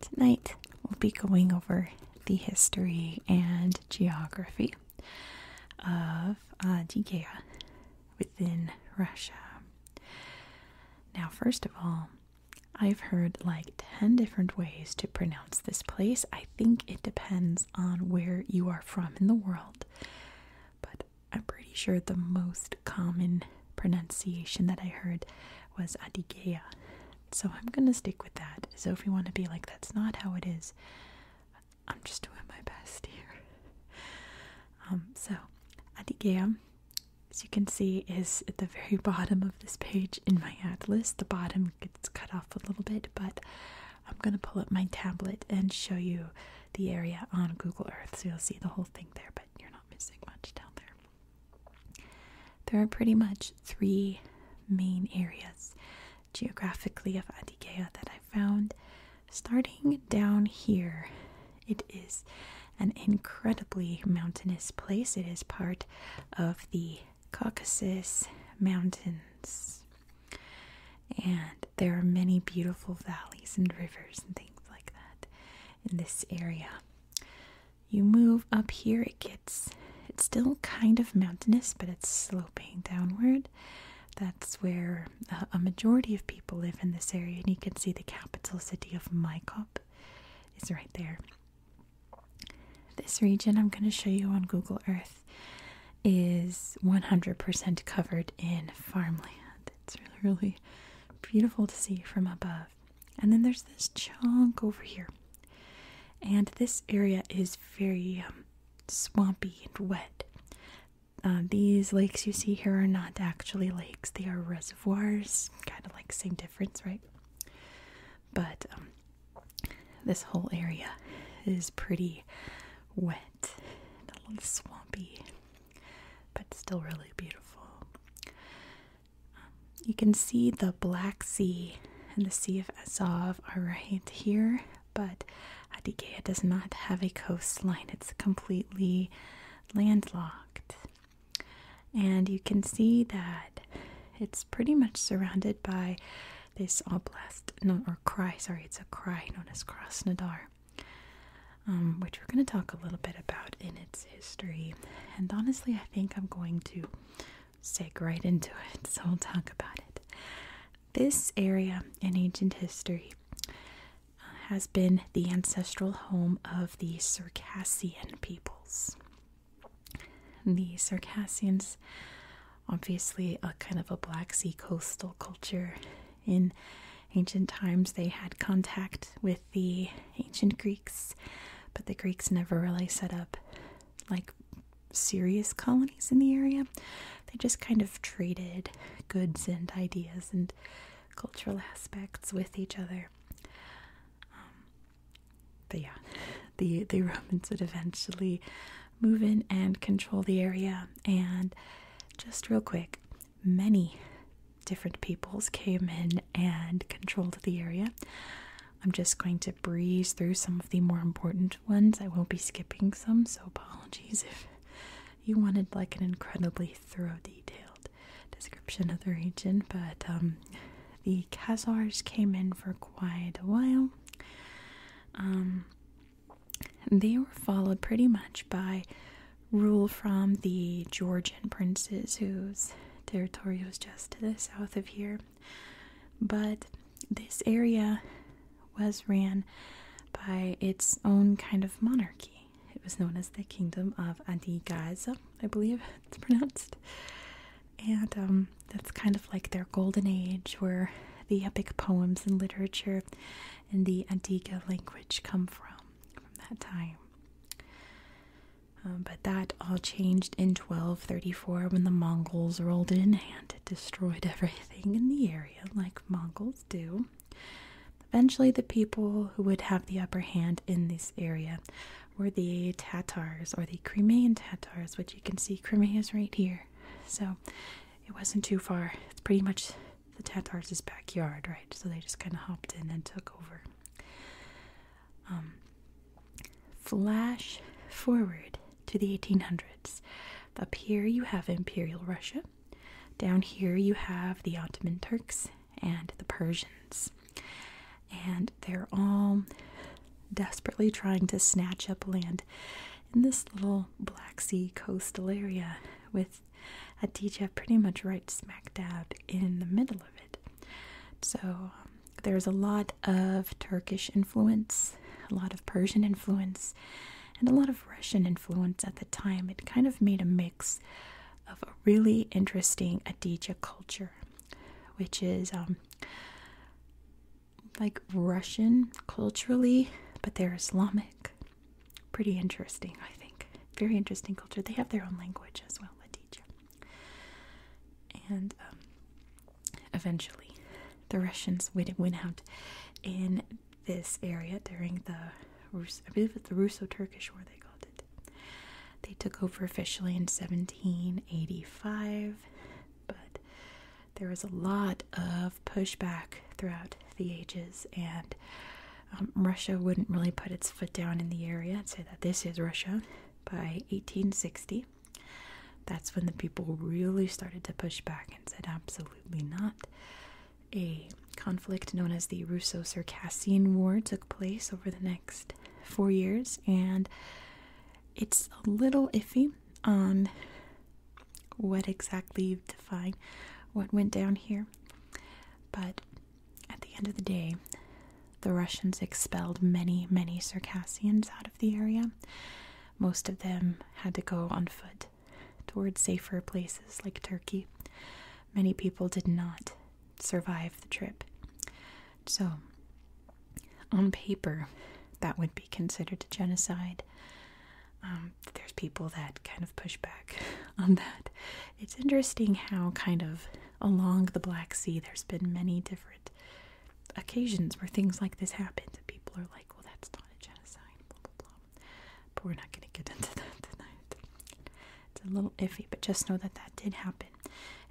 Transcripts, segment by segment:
Tonight we'll be going over the history and geography of Adygea uh, within Russia. Now, first of all, I've heard like 10 different ways to pronounce this place. I think it depends on where you are from in the world, but I'm pretty sure the most common pronunciation that I heard was Adigeia. So I'm going to stick with that. So if you want to be like, that's not how it is, I'm just doing my best here. Um, so Adigeia, as you can see, is at the very bottom of this page in my atlas. The bottom gets cut off a little bit, but I'm going to pull up my tablet and show you the area on Google Earth so you'll see the whole thing there. But you're not missing much down there. There are pretty much three main areas geographically of Adygea that I found. Starting down here, it is an incredibly mountainous place. It is part of the Caucasus Mountains. And there are many beautiful valleys and rivers and things like that in this area. You move up here, it gets it's still kind of mountainous, but it's sloping downward. That's where uh, a majority of people live in this area, and you can see the capital city of Mycop is right there. This region I'm going to show you on Google Earth is 100% covered in farmland. It's really, really beautiful to see from above. And then there's this chunk over here. And this area is very um, swampy and wet. Uh, these lakes you see here are not actually lakes, they are reservoirs. Kind of like same difference, right? But um, this whole area is pretty wet and a little swampy, but still really beautiful you can see the Black Sea and the Sea of Azov are right here, but Adigea does not have a coastline. It's completely landlocked. And you can see that it's pretty much surrounded by this oblast, no, or cry, sorry, it's a cry known as Krasnodar, um, which we're going to talk a little bit about in its history. And honestly, I think I'm going to seg right into it, so we'll talk about it. This area in ancient history has been the ancestral home of the Circassian peoples. The Circassians, obviously, a kind of a Black Sea coastal culture. In ancient times, they had contact with the ancient Greeks, but the Greeks never really set up like serious colonies in the area. They just kind of traded goods and ideas and cultural aspects with each other. Um, but yeah, the the Romans would eventually move in and control the area. And just real quick, many different peoples came in and controlled the area. I'm just going to breeze through some of the more important ones. I won't be skipping some, so apologies if you wanted like an incredibly thorough, detailed description of the region. But um, the Khazars came in for quite a while. Um, they were followed pretty much by rule from the Georgian princes, who's territory was just to the south of here. But this area was ran by its own kind of monarchy. It was known as the Kingdom of Antigaza, I believe it's pronounced. And um, that's kind of like their golden age where the epic poems and literature in the Antigua language come from, from that time. Um, but that all changed in 1234 when the Mongols rolled in and destroyed everything in the area, like Mongols do. Eventually, the people who would have the upper hand in this area were the Tatars or the Crimean Tatars, which you can see Crimea is right here. So it wasn't too far. It's pretty much the Tatars' backyard, right? So they just kind of hopped in and took over. Um, flash forward to the 1800s. Up here, you have Imperial Russia. Down here, you have the Ottoman Turks and the Persians. And they're all desperately trying to snatch up land in this little Black Sea coastal area with Adija pretty much right smack dab in the middle of it. So um, there's a lot of Turkish influence, a lot of Persian influence, and a lot of Russian influence at the time. It kind of made a mix of a really interesting Aditya culture, which is um, like Russian culturally, but they're Islamic. Pretty interesting, I think. Very interesting culture. They have their own language as well, Aditya. And um, eventually, the Russians went out in this area during the I believe it's the Russo-Turkish War they called it. They took over officially in 1785, but there was a lot of pushback throughout the ages, and um, Russia wouldn't really put its foot down in the area and say that this is Russia by 1860. That's when the people really started to push back and said, absolutely not. A conflict known as the Russo Circassian War took place over the next four years, and it's a little iffy on what exactly you define what went down here. But at the end of the day, the Russians expelled many, many Circassians out of the area. Most of them had to go on foot towards safer places like Turkey. Many people did not survive the trip. So, on paper, that would be considered a genocide. Um, there's people that kind of push back on that. It's interesting how kind of along the Black Sea, there's been many different occasions where things like this happened. People are like, well, that's not a genocide, blah, blah, blah. But we're not going to get into that tonight. It's a little iffy, but just know that that did happen.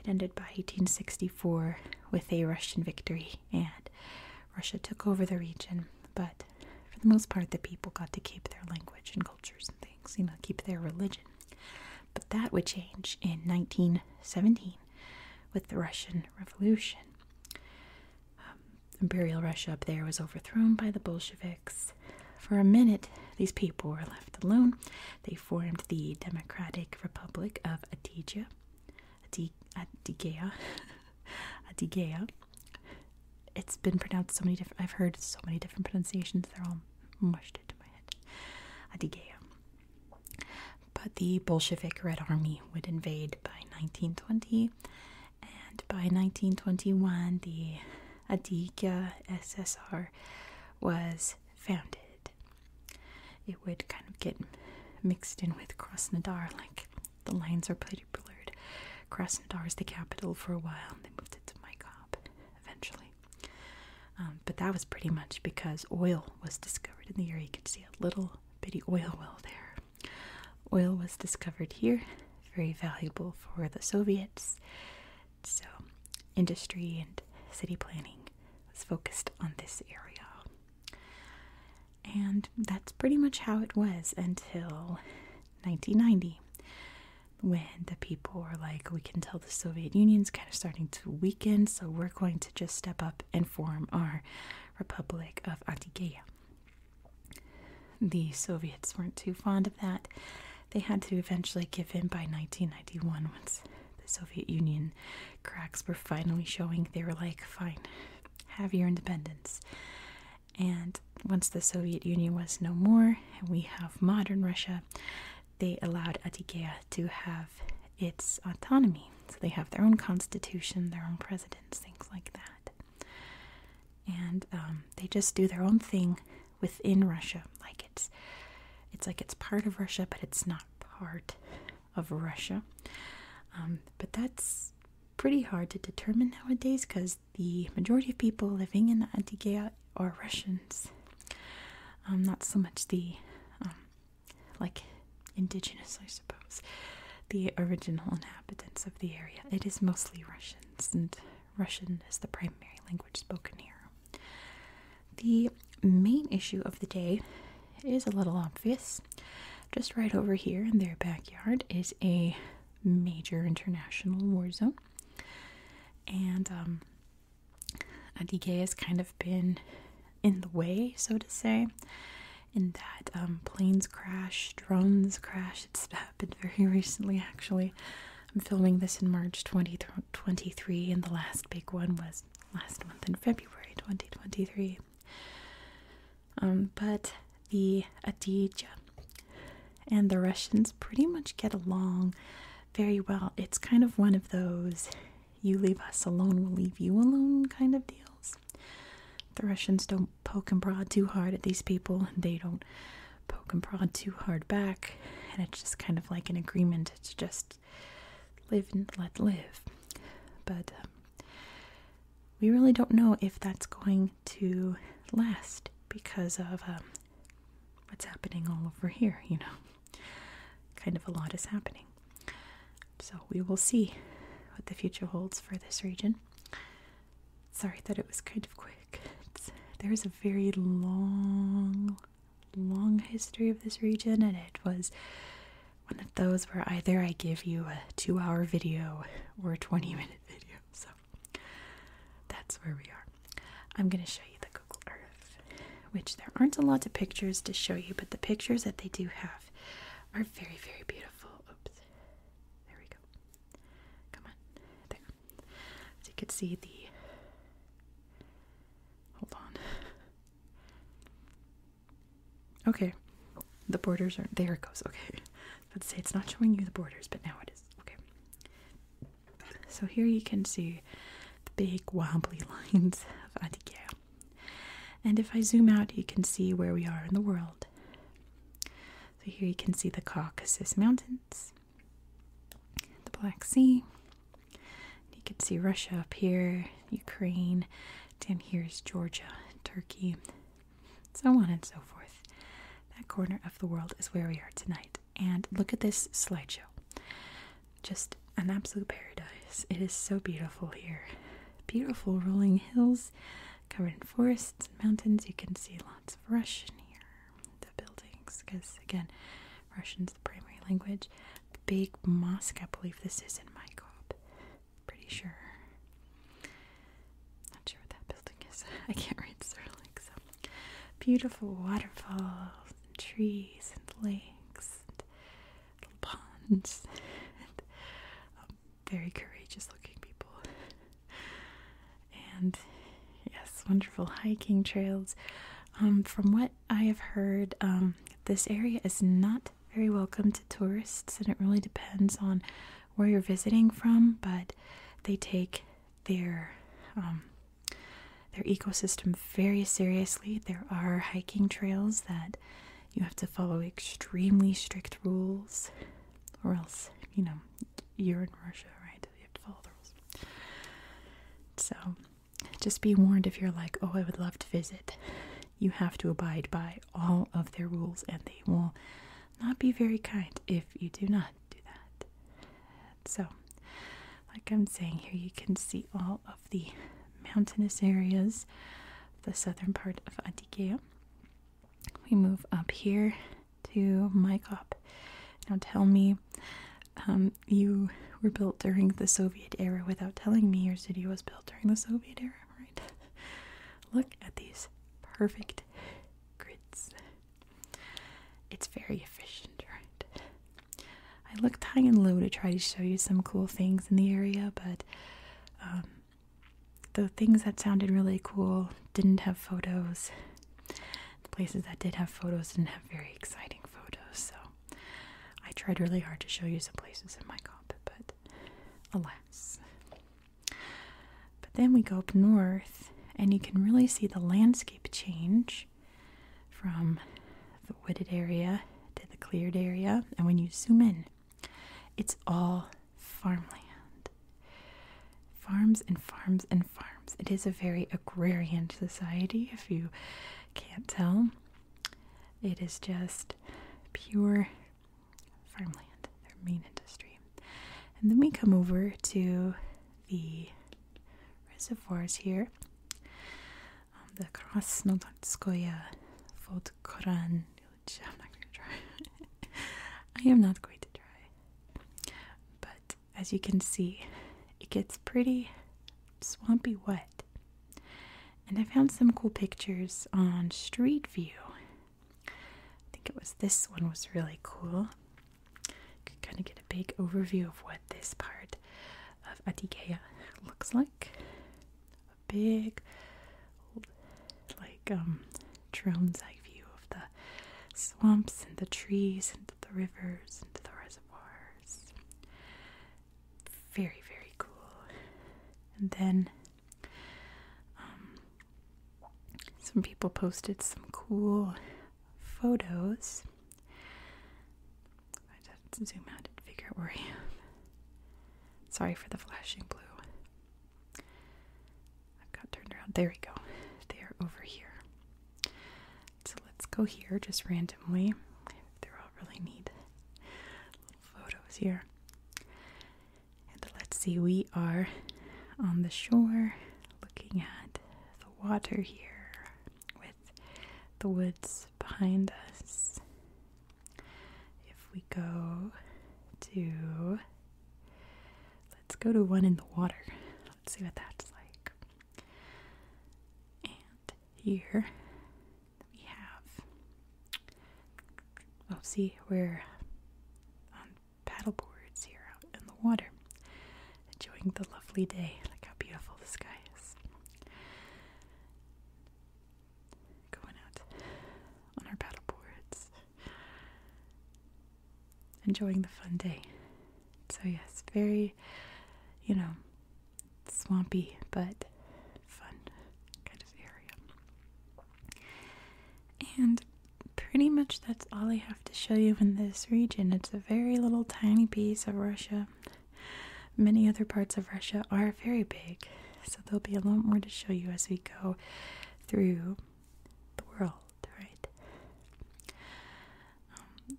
It ended by 1864 with a Russian victory, and Russia took over the region. But for the most part, the people got to keep their language and cultures and things, you know, keep their religion. But that would change in 1917 with the Russian Revolution. Um, Imperial Russia up there was overthrown by the Bolsheviks. For a minute, these people were left alone. They formed the Democratic Republic of Adygea. Adygea. Adygea. It's been pronounced so many different. I've heard so many different pronunciations. They're all mushed it my head. Adigea. But the Bolshevik Red Army would invade by 1920, and by 1921, the Adiga SSR was founded. It would kind of get mixed in with Krasnodar, like the lines are pretty blurred. Krasnodar is the capital for a while, they moved it to Maikop eventually. Um, but that was pretty much because oil was discovered in the area. You can see a little bitty oil well there. Oil was discovered here, very valuable for the Soviets. So, industry and city planning was focused on this area. And that's pretty much how it was until 1990 when the people were like, we can tell the Soviet Union's kind of starting to weaken, so we're going to just step up and form our Republic of Artikeya. The Soviets weren't too fond of that. They had to eventually give in by 1991 once the Soviet Union cracks were finally showing. They were like, fine, have your independence. And once the Soviet Union was no more, and we have modern Russia, they allowed Adygea to have its autonomy. So they have their own constitution, their own presidents, things like that. And um, they just do their own thing within Russia. Like it's, it's like it's part of Russia, but it's not part of Russia. Um, but that's pretty hard to determine nowadays because the majority of people living in Antigua are Russians. Um, not so much the um, like indigenous, I suppose, the original inhabitants of the area. It is mostly Russians, and Russian is the primary language spoken here. The main issue of the day is a little obvious. Just right over here in their backyard is a major international war zone and um, Adige has kind of been in the way, so to say, in that um, planes crash, drones crash. It's happened very recently, actually. I'm filming this in March 2023, and the last big one was last month in February 2023. Um, but the Adija and the Russians pretty much get along very well. It's kind of one of those you leave us alone, we'll leave you alone kind of deals. The Russians don't poke and prod too hard at these people, and they don't poke and prod too hard back, and it's just kind of like an agreement to just live and let live. But um, we really don't know if that's going to last because of um, what's happening all over here, you know. Kind of a lot is happening. So we will see what the future holds for this region. Sorry that it was kind of quick. there's a very long, long history of this region, and it was one of those where either I give you a two hour video or a 20 minute video. So that's where we are. I'm going to show you the Google Earth, which there aren't a lot of pictures to show you, but the pictures that they do have are very, very beautiful. Oops. There we go. Come on. There. So you can see the. Hold on. Okay. The borders are there it goes. Okay. Let's say it's not showing you the borders, but now it is. Okay. So here you can see the big wobbly lines of Attica. And if I zoom out, you can see where we are in the world. So here you can see the Caucasus Mountains, the Black Sea. You can see Russia up here, Ukraine, down here is Georgia, Turkey, so on and so forth. That corner of the world is where we are tonight and look at this slideshow. Just an absolute paradise. It is so beautiful here. Beautiful rolling hills covered in forests and mountains. You can see lots of Russian here. The buildings, because again, Russian is the primary language. big mosque, I believe this is in Mykop. Pretty sure. Not sure what that building is. I can't read Cyrillic, Beautiful waterfalls and trees and lakes and little ponds and um, very courageous looking people. And yes, wonderful hiking trails. Um, from what I have heard, um, this area is not very welcome to tourists, and it really depends on where you're visiting from, but they take their um, their ecosystem very seriously. There are hiking trails that you have to follow extremely strict rules, or else you know you're in Russia, right? You have to follow the rules. So just be warned if you're like, oh, I would love to visit. You have to abide by all of their rules, and they will not be very kind if you do not do that. So, like I'm saying here, you can see all of the mountainous areas the southern part of Antiquia. We move up here to Mykop. Now, tell me, um, you were built during the Soviet era without telling me your city was built during the Soviet era, right? Look at these perfect grids. It's very efficient, right? I looked high and low to try to show you some cool things in the area, but um, the things that sounded really cool didn't have photos. The places that did have photos didn't have very exciting photos, so I tried really hard to show you some places in my comp, but alas. But then we go up north, and you can really see the landscape change from the wooded area to the cleared area. And when you zoom in, it's all farmland. Farms and farms and farms. It is a very agrarian society, if you can't tell. It is just pure farmland, their main industry. And then we come over to the reservoirs here. Um, the Krasnodarskoye Vodkoran, which I'm not going to try. I am not going to try. But as you can see, it gets pretty swampy wet. And I found some cool pictures on Street View. I think it was this one was really cool. You can kind of get a big overview of what this part of Atikea looks like. A big, like, um, drone's eye view of the swamps and the trees and the rivers and the reservoirs. Very, very cool. And then um, some people posted some cool photos. I just have to zoom out and figure out where I am. Sorry for the flashing blue. I've got turned around. There we go. They are over here. So let's go here just randomly. They're all really neat little photos here. And let's see, we are on the shore looking at the water here with the woods behind us. If we go to, let's go to one in the water. Let's see what that's like. And here we have, oh, see, we're paddleboards here out in the water, enjoying the lovely day. Look how beautiful the sky is. Going out on our paddleboards, enjoying the fun day. So, yes, very, you know, swampy but fun kind of area. And pretty much that's all I have to show you in this region. It's a very little tiny piece of Russia. Many other parts of Russia are very big, so there'll be a lot more to show you as we go through the world, right? Um,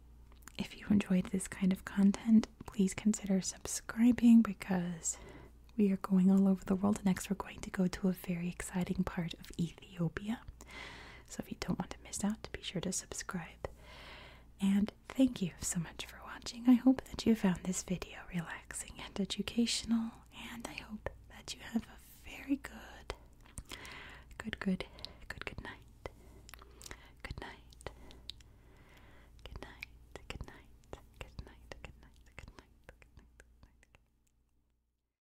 if you enjoyed this kind of content, please consider subscribing because we are going all over the world. Next, we're going to go to a very exciting part of Ethiopia. So if you don't want to miss out, be sure to subscribe. And thank you so much for watching. I hope that you found this video relaxing and educational, and I hope that you have a very good, good, good, good, good night. Good night. Good night. Good night. Good night. Good night. Good night. Good night.